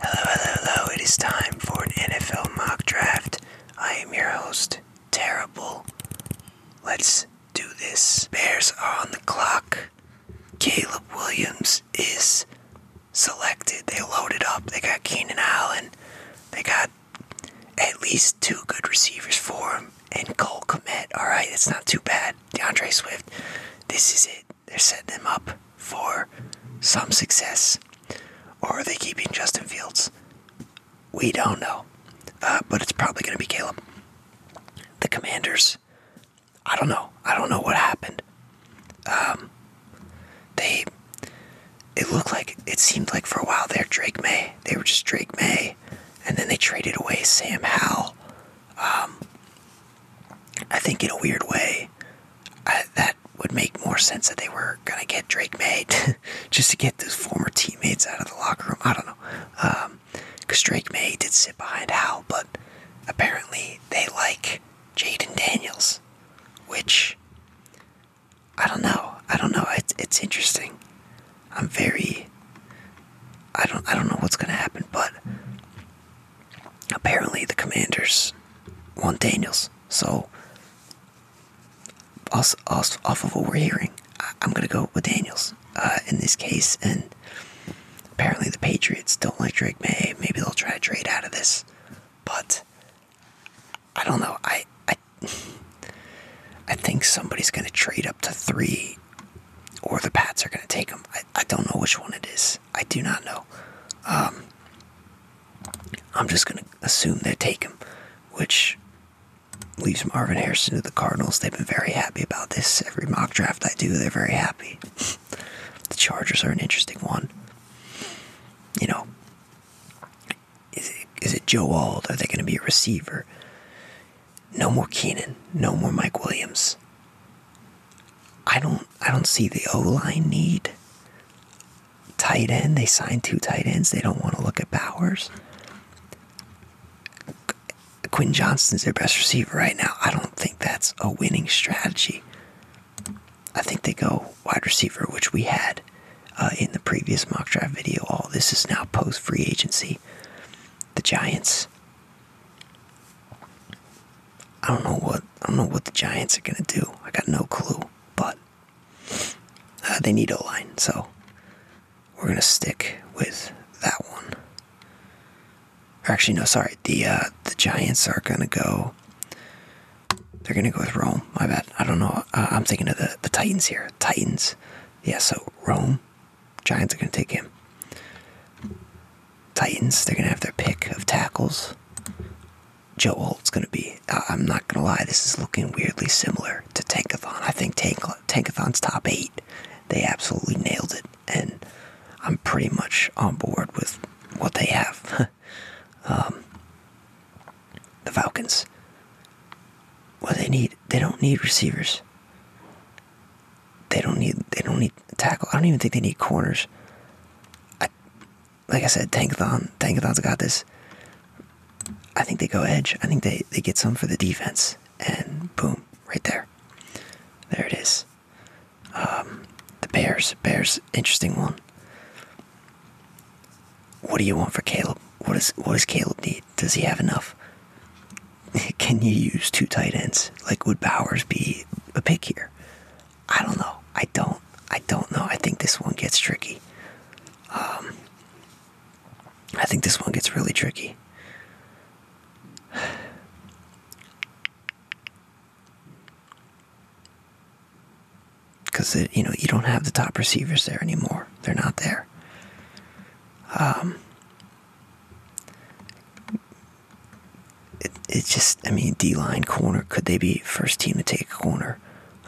Hello, hello, hello. It is time for an NFL mock draft. I am your host, Terrible. Let's do this. Bears are on the clock. Caleb Williams is selected. They loaded up. They got Keenan Allen. They got at least two good receivers for him. And Cole Komet. Alright, it's not too bad. DeAndre Swift. This is it. They're setting him up for some success. Or are they keeping Justin Fields? We don't know. Uh, but it's probably going to be Caleb. The Commanders, I don't know. I don't know what happened. Um, they, it looked like, it seemed like for a while there, Drake May. They were just Drake May. And then they traded away Sam Howell. Um, I think in a weird way, that would make more sense that they were gonna get Drake May just to get those former teammates out of the locker room. I don't know, because um, Drake May did sit behind Hal, but apparently they like Jaden Daniels, which I don't know. I don't know. It's it's interesting. I'm very. I don't I don't know what's gonna happen, but apparently the Commanders want Daniels. So, off, off, of what we're hearing, I'm going to go with Daniels uh, in this case. And apparently the Patriots don't like Drake May. Maybe they'll try to trade out of this. But I don't know. I I, I think somebody's going to trade up to three, or the Pats are going to take him. I, I don't know which one it is. I do not know. Um, I'm just going to assume they take him, which leaves Marvin Harrison to the Cardinals. They've been very happy about this. Every mock draft I do, they're very happy. the Chargers are an interesting one. You know, is it Joe Ald? Are they going to be a receiver? No more Keenan. No more Mike Williams. I don't I don't see the O line need. Tight end, they signed two tight ends. They don't want to look at Powers. Quinn Johnston's their best receiver right now. I don't think that's a winning strategy. I think they go wide receiver, which we had uh, in the previous mock draft video. All this is now post free agency. The Giants. I don't know what I don't know what the Giants are gonna do. I got no clue, but uh, they need a line, so we're gonna stick with that one. actually, no, sorry. The uh, the Giants are gonna go. They're gonna go with Rome. My bad. I don't know. I'm thinking of the the Titans here. Titans. Yeah. So Rome. Giants are gonna take him. Titans, they're going to have their pick of tackles. Joe Holt's going to be, I'm not going to lie, this is looking weirdly similar to Tankathon. I think Tankathon's top eight, they absolutely nailed it. And I'm pretty much on board with what they have. Um, the Falcons. What they need, they don't need receivers. They don't need, they don't need tackle. I don't even think they need corners like I said, Tankathon, Tankathon's got this. I think they go edge. I think they, they get some for the defense, and boom, right there. There it is. Um, the Bears, Bears, interesting one. What do you want for Caleb? What is what does Caleb need? Does he have enough? Can you use two tight ends? Like would Bowers be a pick here? I don't know. I don't. I don't know. I think this one gets tricky. Um, I think this one gets really tricky. Because you know you don't have the top receivers there anymore. They're not there. Um, it's just, I mean, D line corner. Could they be first team to take a corner?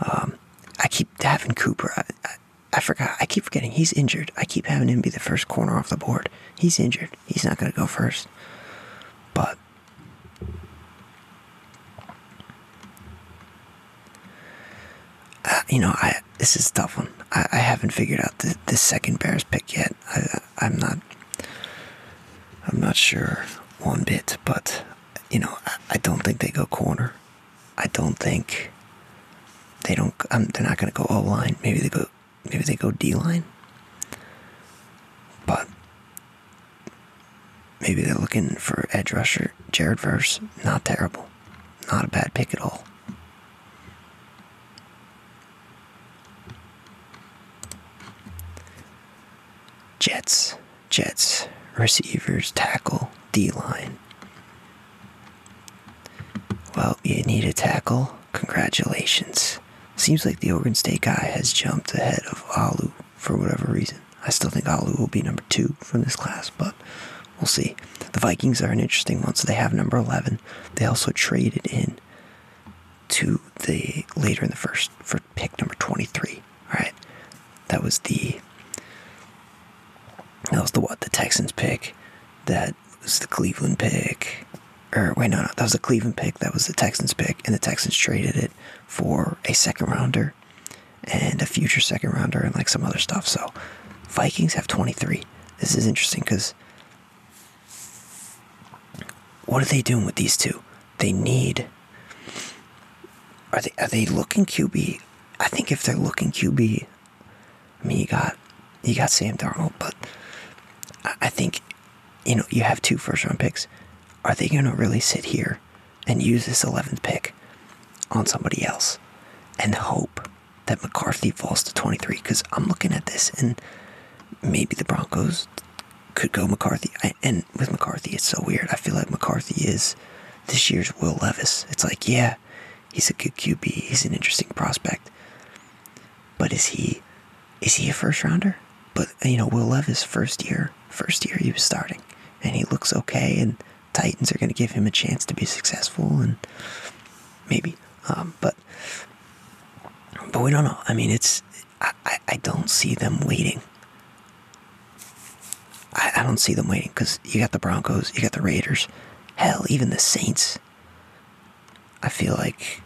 Um, I keep having Cooper. I, I, I forgot. I keep forgetting he's injured. I keep having him be the first corner off the board. He's injured. He's not going to go first. But uh, you know, I this is tough one. I, I haven't figured out the, the second Bears pick yet. I'm not. I'm not sure one bit, but you know, I, don't think they go corner. I don't think they don't. Um, they're not going to go O line. Maybe they go. Maybe they go D line. But maybe they're looking for edge rusher Jared Verse. Not terrible. Not a bad pick at all. Jets, Jets, receivers, tackle, D line. Well, you need a tackle. Congratulations. Seems like the Oregon State guy has jumped ahead of Alu for whatever reason. I still think Alu will be number two from this class, but we'll see. The Vikings are an interesting one, so they have number 11. They also traded in to the later in the first, for pick number 23. All right. That was the that was the what? The Texans pick. That was the Cleveland pick. Or wait, no, no, that was the Cleveland pick. That was the Texans pick, and the Texans traded it for a second rounder and a future second rounder and like some other stuff. So Vikings have 23. This is interesting because what are they doing with these two? They need. Are they are they looking QB? I think if they're looking QB, I mean you got you got Sam Darnold, but I, I think you know you have two first round picks. Are they going to really sit here and use this eleventh pick on somebody else and hope that McCarthy falls to twenty three? Because I'm looking at this and maybe the Broncos could go McCarthy. and with McCarthy, it's so weird. I feel like McCarthy is this year's Will Levis. It's like, yeah, he's a good QB. He's an interesting prospect. But is he is he a first rounder? But you know, Will Levis first year, first year he was starting, and he looks okay. And Titans are going to give him a chance to be successful, and maybe. Um, but but we don't know. I mean, it's I, I, don't see them waiting. I, I don't see them waiting because you got the Broncos, you got the Raiders, hell, even the Saints. I feel like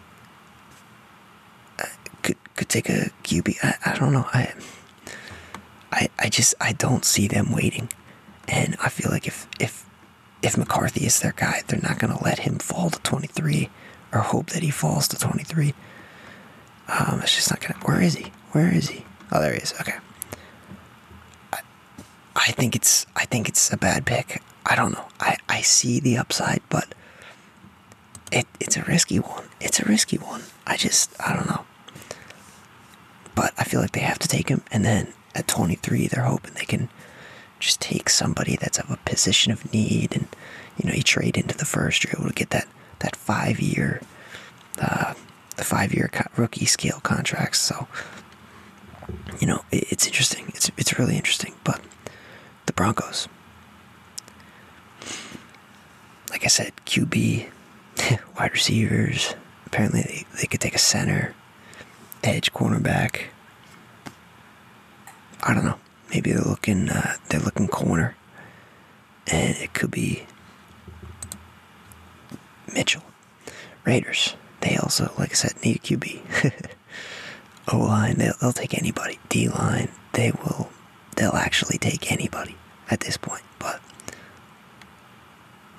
I uh, could could take a QB. I, I don't know. I, I I just I don't see them waiting, and I feel like if if if McCarthy is their guy, they're not going to let him fall to 23 or hope that he falls to 23. Um, it's just not gonna. Where is he? Where is he? Oh, there he is. Okay. I, I think it's. I think it's a bad pick. I don't know. I I see the upside, but it it's a risky one. It's a risky one. I just. I don't know. But I feel like they have to take him, and then at 23, they're hoping they can just take somebody that's of a position of need and you know you trade into the first, you're able to get that that five year, uh, the five year rookie scale contracts. So you know it's interesting. It's it's really interesting. But the Broncos, like I said, QB, wide receivers. Apparently they, they could take a center, edge, cornerback. I don't know maybe they're looking uh, they're looking corner, and it could be Mitchell. Raiders. They also, like I said, need a QB. o line, they'll, they'll take anybody. D line, they will. They'll actually take anybody at this point. But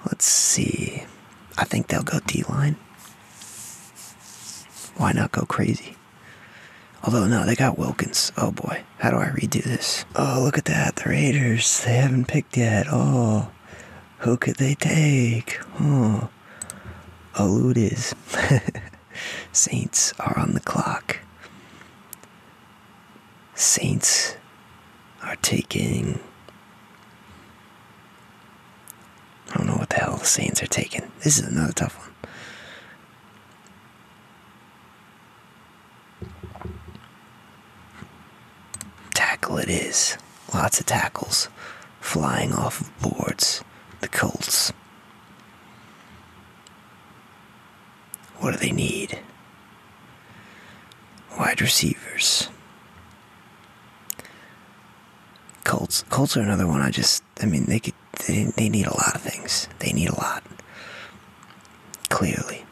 let's see. I think they'll go D line. Why not go crazy? Although, no, they got Wilkins. Oh boy, how do I redo this? Oh, look at that. The Raiders. They haven't picked yet. Oh, who could they take? Oh, elude Saints are on the clock. Saints are taking. I don't know what the hell the Saints are taking. This is another tough one. Tackle it is. Lots of tackles flying off of boards. The Colts. What do they need? Wide receivers. Colts. Colts are another one I just I mean, they could, they, need a lot of things. They need a lot. Clearly.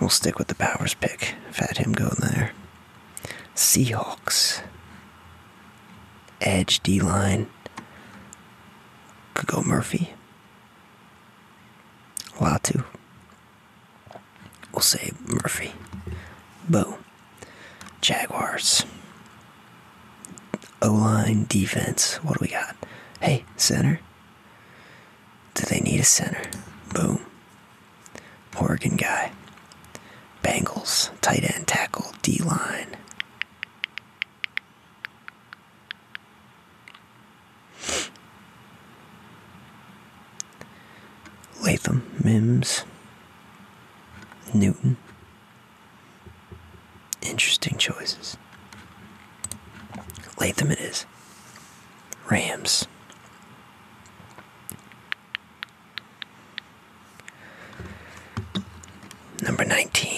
We'll stick with the Powers pick. Fat him going there. Seahawks. Edge D line. Could go Murphy. Latu. We'll say Murphy. Bo. Jaguars. O line defense. What do we got? Hey, center. Do they need a center? Boom. Oregon guy. Bengals. Tight end tackle. D line. Latham, Mims, Newton. Interesting choices. Latham it is. Rams. Number 19.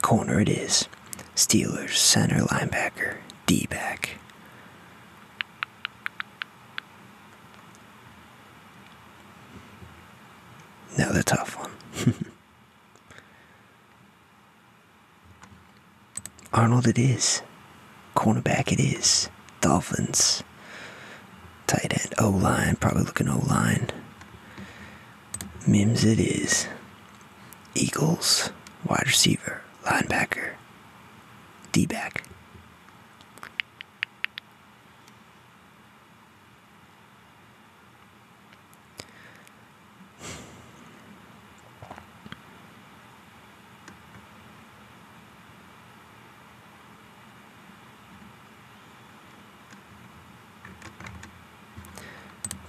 Corner it is. Steelers center linebacker, D back. Now the tough one. Arnold, it is. Cornerback it is. Dolphins. Tight end. O line. Probably looking O line. Mims it is. Eagles. Wide receiver. Linebacker. D back.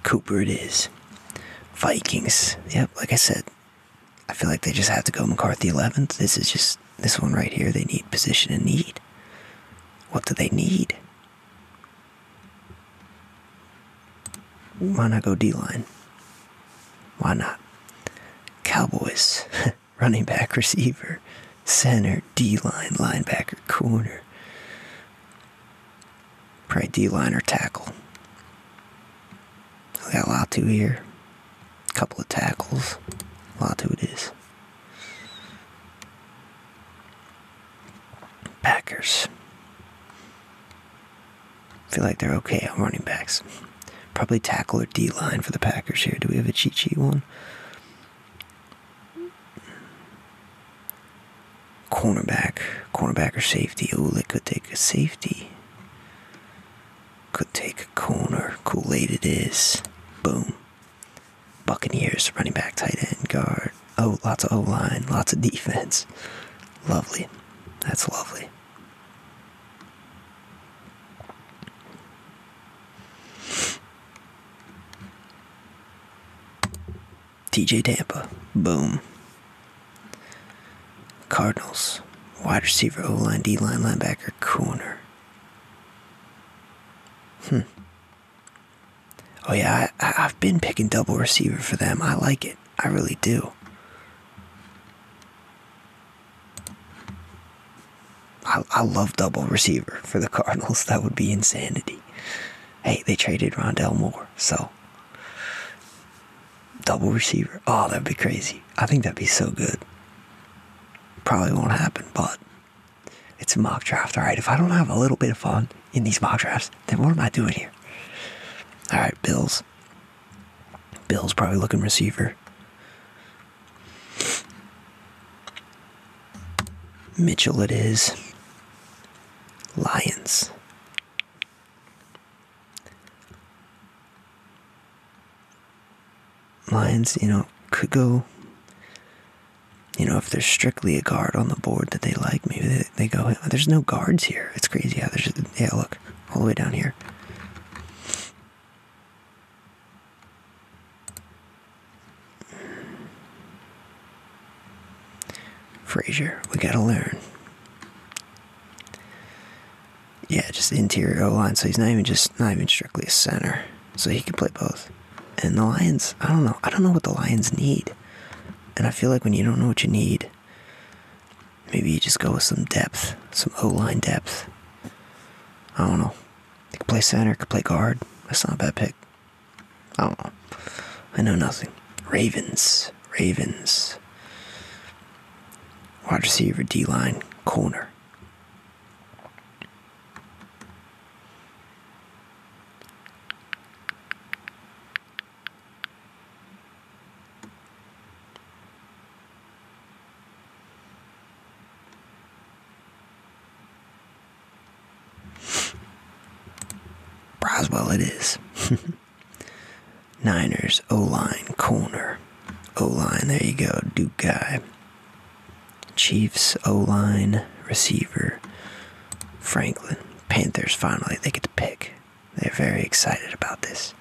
Cooper it is. Vikings. Yep, like I said, I feel like they just have to go McCarthy 11th. This is just this one right here. They need position and need. What do they need? Why not go D line? Why not? Cowboys. running back, receiver, center, D line, linebacker, corner. Probably D line or tackle. I got a lot to here. A couple of tackles. a lot to it is. Packers. feel like they're okay on running backs. Probably tackle or D line for the Packers here. Do we have a cheat sheet one? Cornerback, cornerback or safety. Oh, they could take a safety. Could take a corner. Cool, Aid it is. Boom. Buccaneers, running back, tight end, guard. Oh, lots of O line, lots of defense. Lovely. That's lovely. TJ Tampa. Boom. Cardinals. Wide receiver, O line, D line, linebacker, corner. Hmm. Oh, yeah, I, I've been picking double receiver for them. I like it. I really do. I, I love double receiver for the Cardinals. That would be insanity. Hey, they traded Rondell Moore, so double receiver. Oh, that'd be crazy. I think that'd be so good. Probably won't happen, but it's a mock draft. All right, if I don't have a little bit of fun in these mock drafts, then what am I doing here? All right, Bills. Bills probably looking receiver. Mitchell it is. Lions. Lions, you know, could go. You know, if there's strictly a guard on the board that they like, maybe they, they go, there's no guards here. It's crazy how there's, yeah, look, all the way down here. Frazier, we gotta learn. Yeah, just interior line. So he's not even just not even strictly a center. So he can play both. And the Lions, I don't know. I don't know what the Lions need. And I feel like when you don't know what you need, Maybe you just go with some depth, some O line depth. I don't know. They could play center, could play guard. That's not a bad pick. I don't know. I know nothing. Ravens. Ravens. Wide receiver, D line, corner. Roswell it is. Niners, O line, corner. O line, there you go, Duke guy. Chiefs, O line, receiver. Franklin, Panthers, finally, they get to pick. They're very excited about this.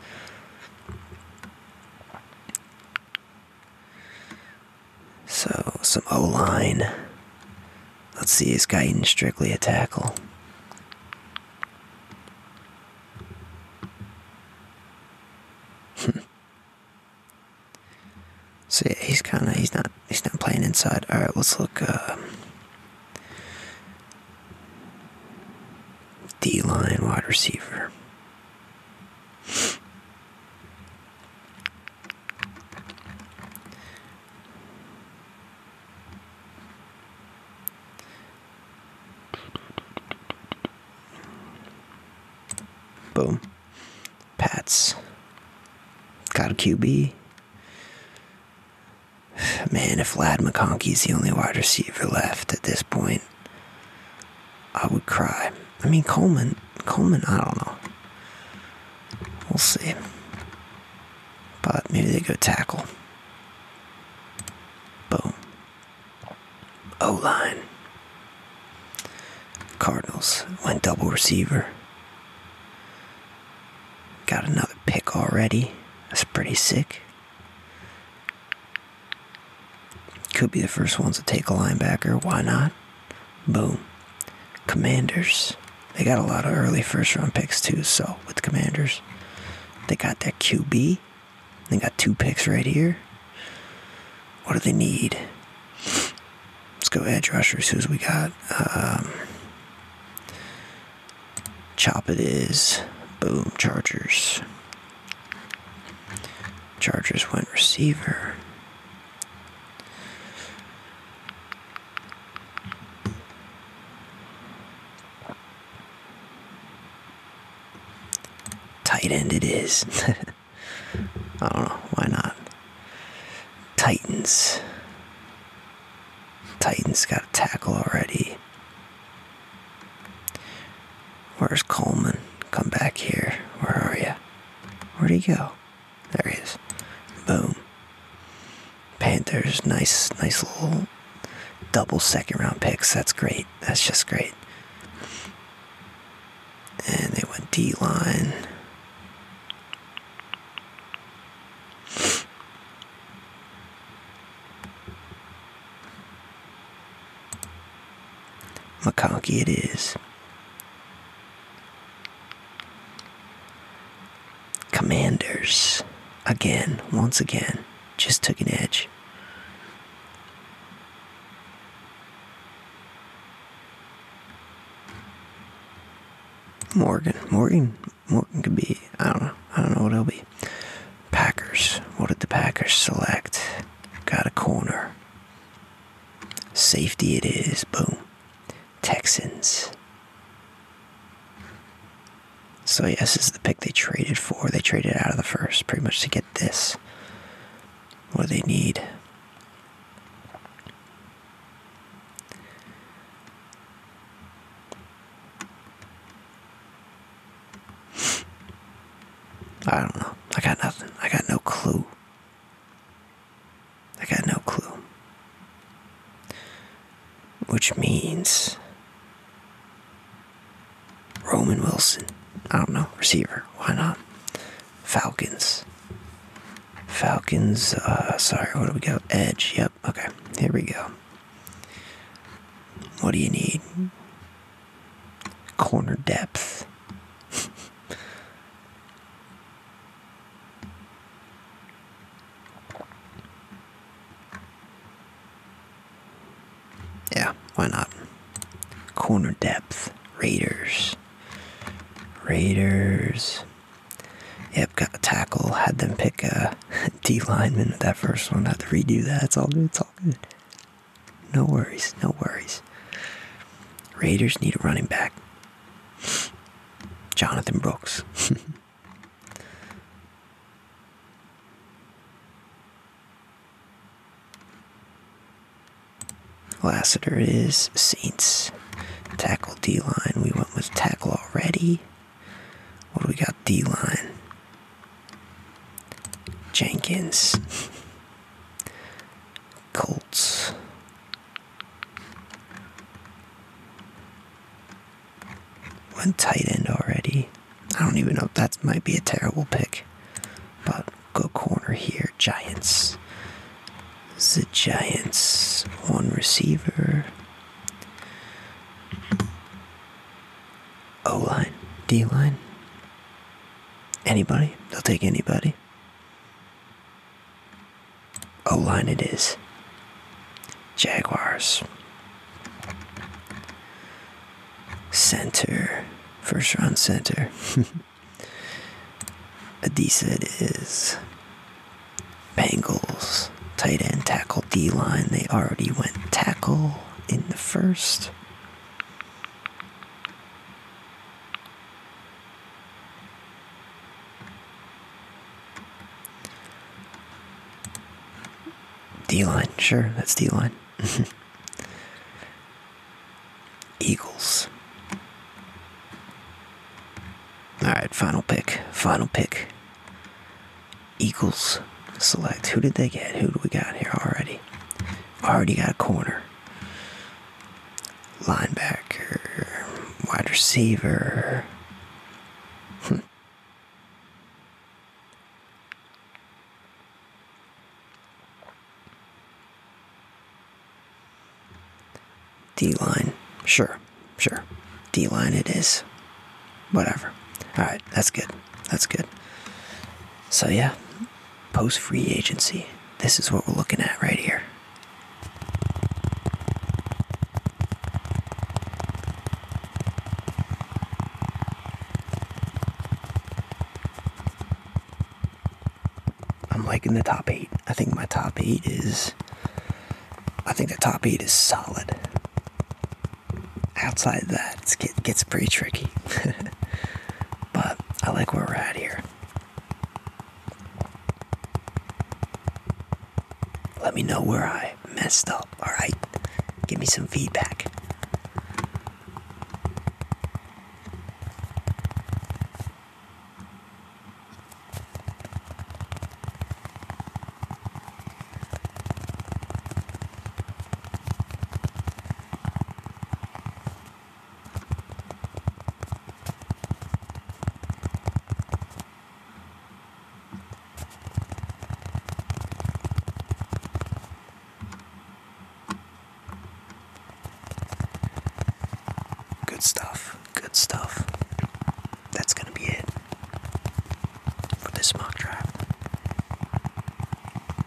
So, some O line. Let's see, is Guyton strictly a tackle? so he's kind of he's not he's not playing inside. All right, let's look. Uh, D line wide receiver. Boom. Pats. Got a QB. Man, if Vlad McConkey's the only wide receiver left at this point, I would cry. I mean, Coleman, Coleman, I don't know. We'll see. But maybe they go tackle. Boom. O line. Cardinals went double receiver. Got another pick already. That's pretty sick. Could be the first ones to take a linebacker. Why not? Boom. Commanders. They got a lot of early first round picks too. So with Commanders, they got that QB. They got two picks right here. What do they need? Let's go edge rushers. Who's we got? Um, chop it is. Boom. Chargers. Chargers went receiver. Tight end it is. I don't know, why not? Titans. Titans got a tackle already. Where's Coleman? Come back here. Where are you? Where'd he go? There he is. Boom. Panthers, nice, nice little double second round picks. That's great. That's just great. And they went D line. McConkie it is. Commanders, again, once again, just took an edge. Morgan, Morgan, Morgan could be, I don't know, I don't know what it will be. Packers. What did the Packers select? Got a corner. Safety it is. Boom. Texans. So, yes, this is the pick they traded for. They traded out of the first pretty much to get this. What do they need? I don't know. I got nothing. I got no clue. I got no clue. Which means Roman Wilson. I don't know. Receiver. Why not? Falcons. Falcons. Uh, sorry. What do we go? Edge. Yep. Okay. Here we go. What do you need? corner depth. yeah, why not? Corner depth. Raiders. Raiders. Yep, got a tackle. Had them pick a D lineman with that first one. Had to redo that. It's all good. It's all good. No worries, no worries. Raiders need a running back. Jonathan Brooks. Lassiter is Saints. Tackle D line. We went with tackle already. What do we got? D line. Jenkins. Colts. One tight end already. I don't even know if that might be a terrible pick. But go corner here. Giants. The Giants. One receiver. O line. D line. Anybody. They'll take anybody. O line it is. Jaguars. Center. First round center. Adisa is. Bengals. Tight end tackle D line. They already went tackle in the first. D line, sure, that's D line. Eagles. Alright, final pick. Final pick. Eagles select. Who did they get? Who do we got here already? already got a corner, linebacker, wide receiver. Hmm. D line, sure, sure. D line it is. Whatever. All right, that's good. That's good. So, yeah, post free agency. This is what we're looking at right here. I'm liking the top eight. I think my top eight is. I think the top eight is solid outside that, it gets pretty tricky. but I like where we're at here. Let me know where I messed up, alright? Give me some feedback. Good stuff, good stuff. That's going to be it for this mock draft.